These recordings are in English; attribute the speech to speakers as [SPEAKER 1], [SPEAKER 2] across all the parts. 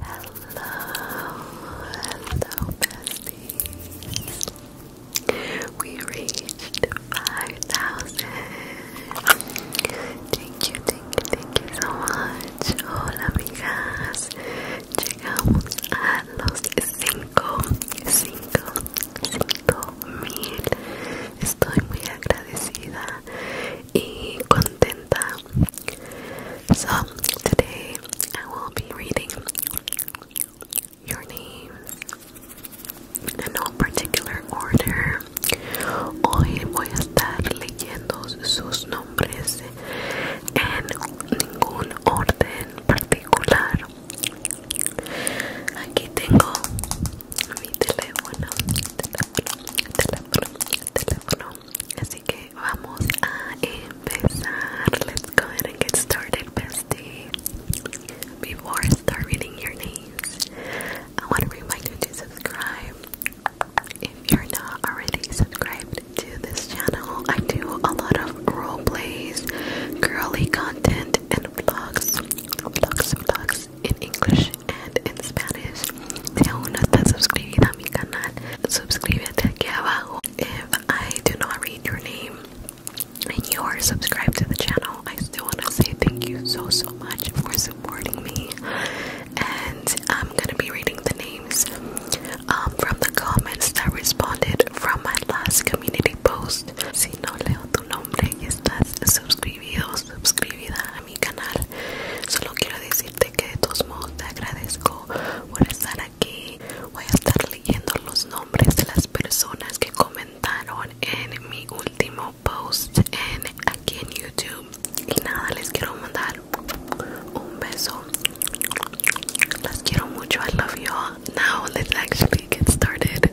[SPEAKER 1] Hello, hello, besties. We reached 5,000. Thank you, thank you, thank you so much. Hola, amigas. Llegamos a 5,000 cinco, cinco, cinco mil. Estoy muy agradecida y contenta. So today I will be reading your name in no particular order. Hoy voy a estar leyendo sus nombres en ningún orden particular. Aquí tengo mi teléfono, teléfono, teléfono. Así que vamos a empezar. Let's go and get started, bestie. Before I start reading your names, I want to remind you to subscribe. If you're not already subscribed to this channel, I do a lot of role girly content, and vlogs, vlogs, vlogs in English and in Spanish. Si aún no estás suscribida a mi canal, suscríbete aquí abajo. If I do not read your name and you are subscribed to the channel, I still want to say thank you so, so much for supporting me. And I'm gonna be reading the names um, from the comments that responded from my last community post. Si no leo tu nombre y estás suscribido o a mi canal, solo quiero decirte que de todos modos te agradezco por estar aquí. Voy a estar leyendo los nombres de las personas que comentaron en mi último post aquí en YouTube. Y nada, les quiero mandar un beso. Las quiero mucho. I love you all. Now let's actually get started.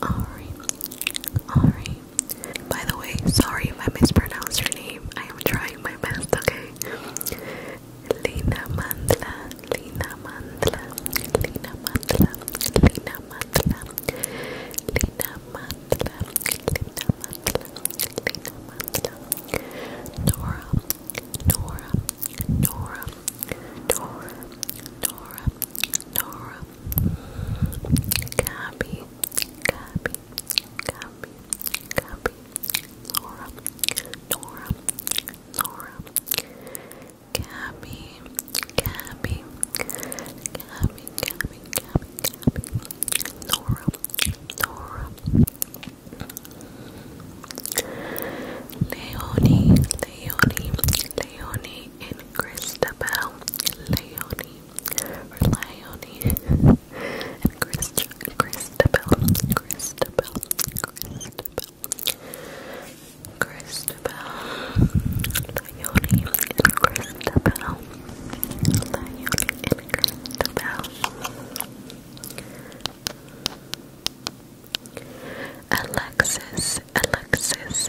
[SPEAKER 1] Alright, alright. By the way, sorry if I mispronounced your name. I am trying my best, okay? Lina Mandla, Lina Mandla, Lina Mandla, Lina Mandla, Lina Mandla, Lina Mandla, Lina Mandla, Nora, Nora, Nora, Nora, Nora, Nora, Gabby, Gabby, Gabby, Gabby, Laura, Nora, Laura, Gabby, Gabby, Gabby, Gabby, Gabby, Gabby, Laura, Laura, Leonie, Leonie, Leonie, and Christabel, Leonie, Leonie, and Christabel, Christabel, Christabel, Christabel, Leonie, and Christabel, Leonie, and Christabel. Alexis, Alexis,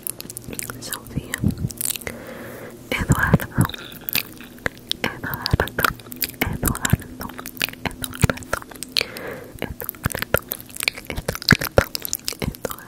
[SPEAKER 1] Sofía, Eduardo, Eduardo, Eduardo, Eduardo, Eduardo, Eduardo, Eduardo, Eduardo,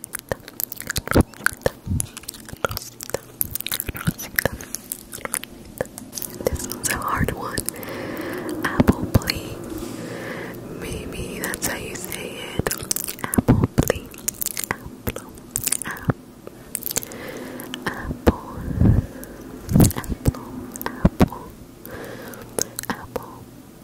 [SPEAKER 1] This is a hard one. Apple Maybe that's how you say it. Apple Apple. Apple. Apple. Apple. Apple.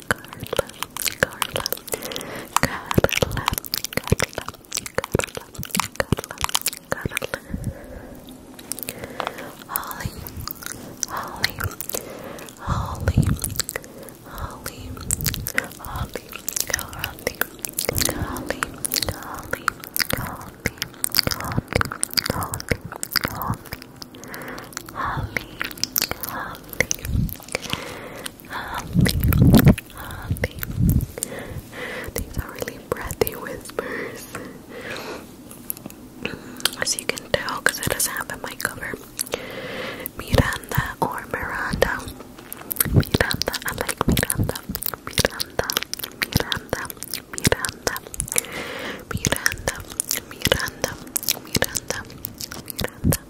[SPEAKER 1] Carla, Carla, Carla, Carla, Carla, Carla, Holly, Holly, Holly, Holly, Holly, Holly, Holly, Holly, Holly, Holly, Holly, Holly, Holly, Holly, Holly. These are really breathy whispers. Mm, as you can tell, because it doesn't have a mic cover. Miranda or Miranda. Miranda, I like Miranda, Miranda, Miranda. Miranda, Miranda, Miranda, Miranda.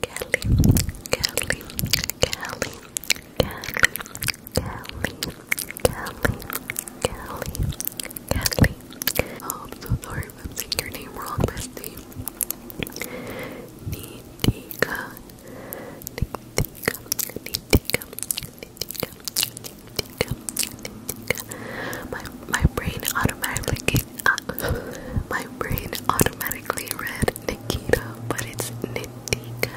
[SPEAKER 1] Kelly, Kelly, Kelly, Kelly, Kelly, Kelly, Kelly, Kelly. Oh, I'm so sorry if I'm saying your name wrong, bestie. Nitika, Nitika, Nitika, Nitika, Nitika. My my brain automatically uh, my brain automatically read Nikita, but it's Nitika.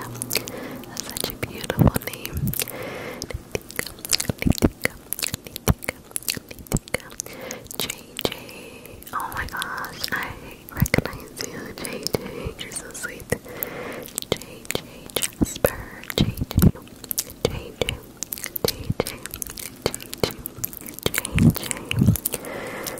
[SPEAKER 1] That's such a beautiful name. Nitika, Nitika, Nitika, Nitika. JJ. Oh my gosh, I recognize you. JJ, you're so sweet. JJ Jasper. JJ, JJ, JJ, JJ, JJ.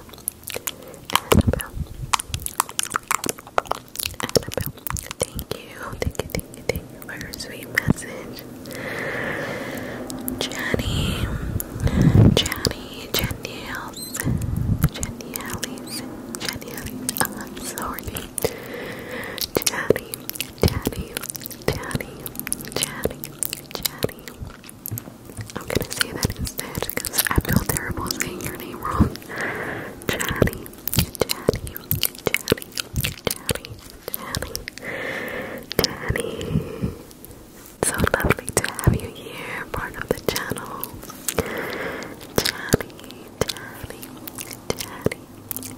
[SPEAKER 1] Annabelle. Annabelle. Thank you. Thank you, thank you, thank sweet message. Jenny. Jenny. Jenny Ellis. Jenny Ellis. Jenny Ellis. I'm sorry. Jenny. Jenny. Jenny. Jenny. Jenny. I'm gonna say that instead because I feel terrible saying your name wrong. Chatty, chatty, chatty, chatty, chatty, chatty. So lovely to have you here, part of the channel. Chatty, chatty, chatty, chatty,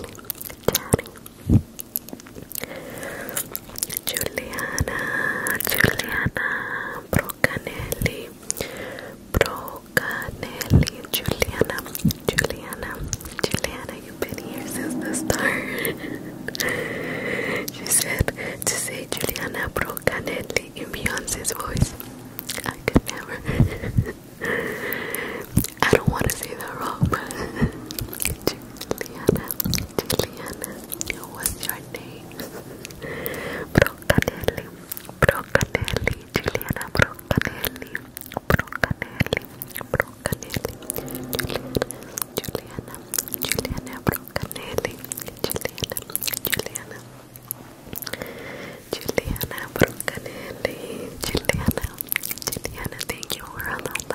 [SPEAKER 1] chatty, chatty. Giuliana, Giuliana Brocanelli, Brocanelli, Giuliana, Giuliana, Giuliana, you've been here since the start. she said to say Giuliana Brocanelli in Beyonce's voice. I could never. I don't want to say that wrong, but Juliana, Juliana, what's your name? Brocanelli, Brocanelli, Juliana Brocanelli, Brocanelli, Brocanelli, Juliana, Juliana, Juliana Brocanelli, Juliana, Juliana, Juliana thank you for that.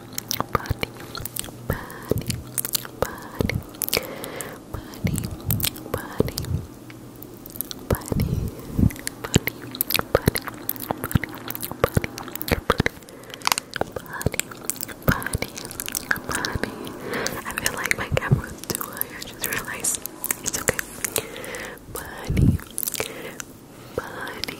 [SPEAKER 1] bunny, bunny, bunny, bunny, bunny, bunny, bunny, bunny, bunny, bunny. Bunny, bunny, bunny. I feel like my camera's too high. I just realized it's okay. Bunny, bunny,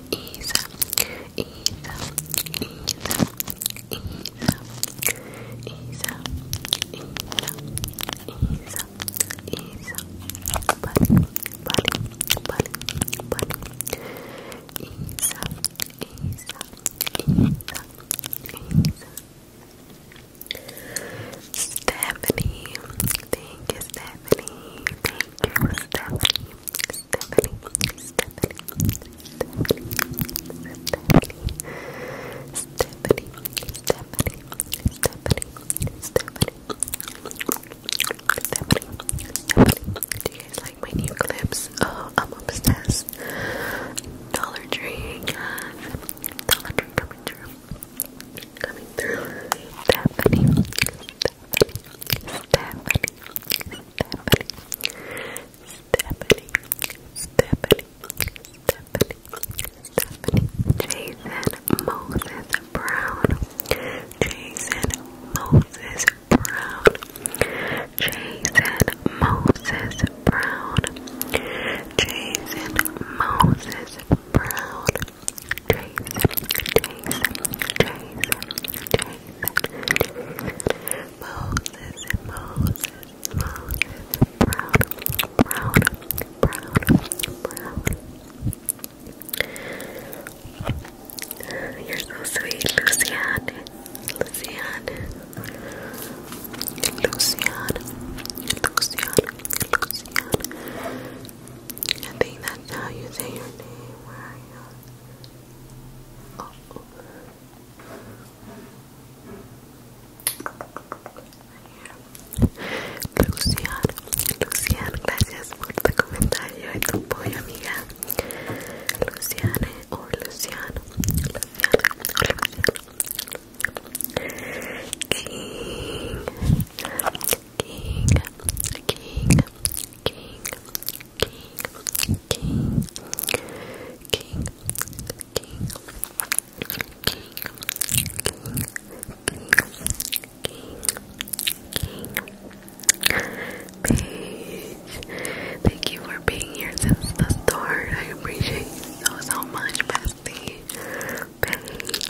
[SPEAKER 1] Isa, Isa, Isa, Isa, Isa, Isa, Isa, buddy, buddy, buddy, buddy, Isa, Isa, Isa, Isa. Stephanie, thank you, Stephanie, thank you, Stephanie, Stephanie, Stephanie, Stephanie, Stephanie, Stephanie, Stephanie. Stephanie, Stephanie, do you guys like my new clips? Oh, I'm obsessed. Dollar Tree, Dollar Tree coming through. Coming through. Stephanie, Stephanie, Jason Moses Brown, Jason Moses Brown, Jason Moses Brown, Jason Moses Brown. Moses, Moses, Moses, proud, proud, proud, proud. You're so sweet, Lucian, Lucian, Lucian, Lucian, Lucian. I think that's how you say your name. Lucian, Lucian, gracias por tu comentario tu apoyo, amiga. Luciane oh, Luciano, Luciana, Luciano, King, King, King, king, king, king, king, king, king, king, king. King, King, Paige, thank you for being here since the start. I appreciate you so, so much, bestie. Paige,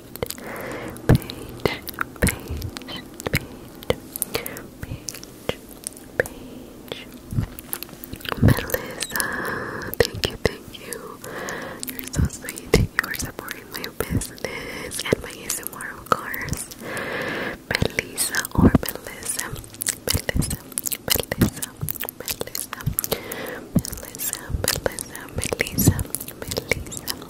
[SPEAKER 1] page, page, page, page, page. Melissa, thank you, thank you. You're so sweet. You are supporting my business and my ASMR, of course. Melissa or Melissa, Melissa, Melissa, Melissa, Melissa, Melissa, Melissa, Melissa,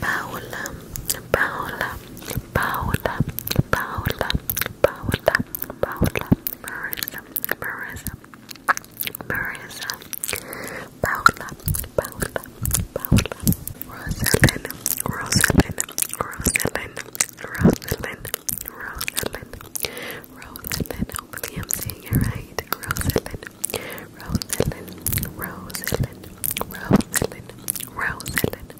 [SPEAKER 1] Paola, Paola, Paola, Paola, Paola, Paola, Marissa, Marissa, Marissa, Paola, Paola, Paola, Rosalind, Rosalind, Rosalind, Rosalind, Rosalind, Rosalind, hopefully I'm saying it right, Rosalind, Rosalind, Rosalind, Rosalind, Rosalind,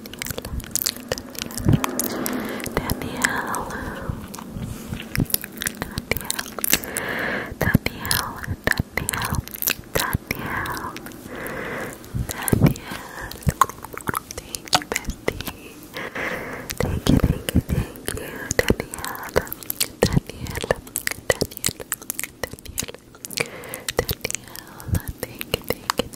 [SPEAKER 1] Danielle, Danielle, Danielle, Danielle, Danielle, Danielle. Thank you, bestie. Thank you, thank you, thank you, Danielle, Danielle, Danielle, Danielle, Danielle. Thank you, thank you,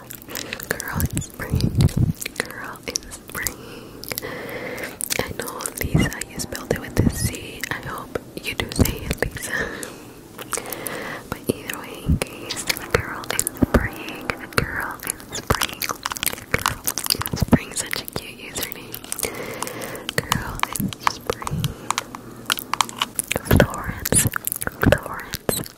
[SPEAKER 1] Girl in spring. Girl in spring. I know Lisa, you spelled it with a C. I hope you do say it, Lisa. But either girl in spring. Girl in spring. spring. Such a cute username. Girl in spring. Florence. Florence.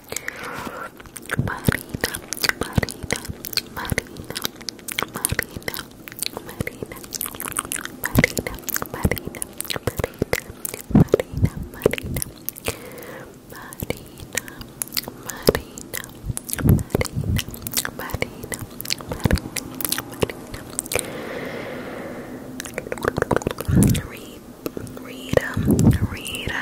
[SPEAKER 1] Marina, Marina, Marina, Marina, Marina, Marina, Marina, Marina, Marina, Marina, Marina, Marina, Marina, Marina, Marina, Rita, Rita,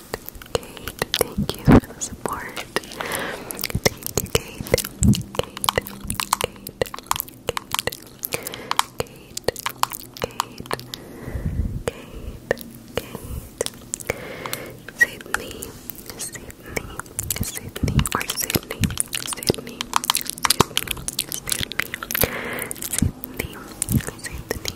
[SPEAKER 1] Kate, thank you for the support. Thank you, Kate. Kate, Kate, Kate, Kate, Kate, Kate, Sydney, Sydney, Sydney, or Sydney, Sydney, Sydney, Sydney, Sydney, Sydney,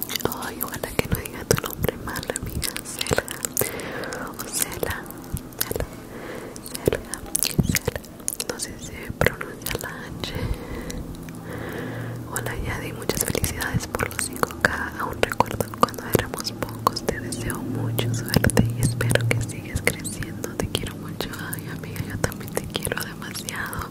[SPEAKER 1] Ay, ojalá que no diga tu nombre mal, amiga. Selga. O Selga. Selga. No sé si se pronuncia la H. Hola, Yadi. Muchas felicidades por los 5K. Aún recuerdo cuando éramos pocos. Te deseo mucho suerte y espero que sigas creciendo. Te quiero mucho. Ay, amiga, yo también te quiero demasiado.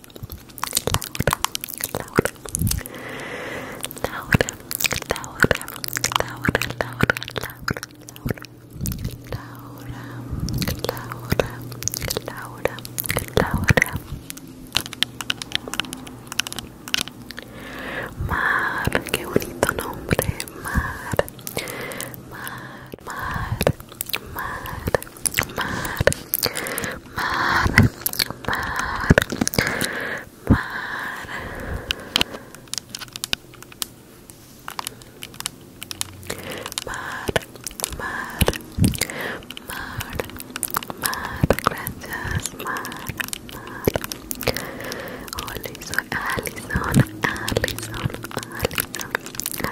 [SPEAKER 1] Mar, qué bonito nombre, Mar, mar, mar, mar. Mar, mar, mar, mar, gracias, mar, mar. Hola, soy Alison, Alison, Alison,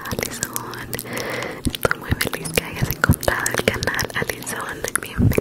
[SPEAKER 1] Alison. Estoy muy feliz que hayas encontrado el canal, Alison. bienvenido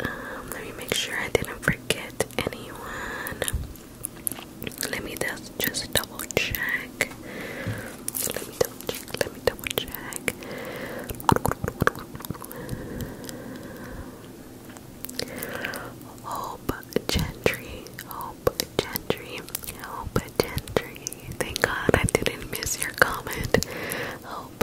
[SPEAKER 1] Um, let me make sure I didn't forget anyone. Let me just double check. Let me double check. Let me double check. Hope Gentry. Hope Gentry. Hope Gentry. Thank God I didn't miss your comment. Hope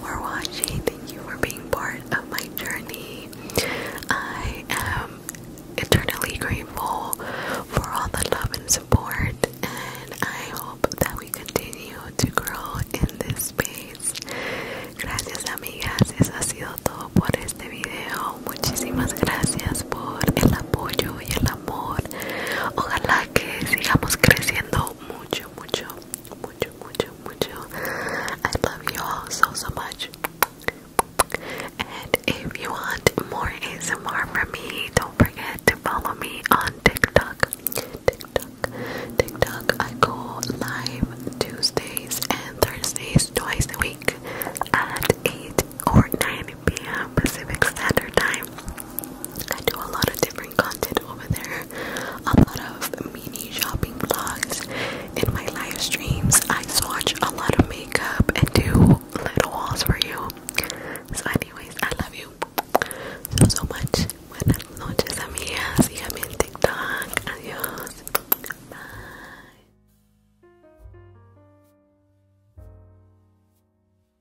[SPEAKER 1] for watching. Thank you for being part of my journey. I am eternally grateful for all the love and support, and I hope that we continue to grow in this space. Gracias, amigas. Eso ha sido todo por este video. Muchísimas gracias por el apoyo y el amor. Ojalá que sigamos creciendo mucho, mucho mucho, mucho, mucho. I love you all so, so much. And if you want more ASMR from me, don't forget to follow me on TikTok. TikTok, TikTok. I go live Tuesdays and Thursdays twice a week at 8 or 9 p.m. Pacific Standard Time. I do a lot of different content over there. A lot of mini shopping vlogs in my live streams. I swatch a lot of makeup and do little hauls for you. So anyways, I love you so much. Buenas noches amigas. Síganme en TikTok. Adiós. Bye.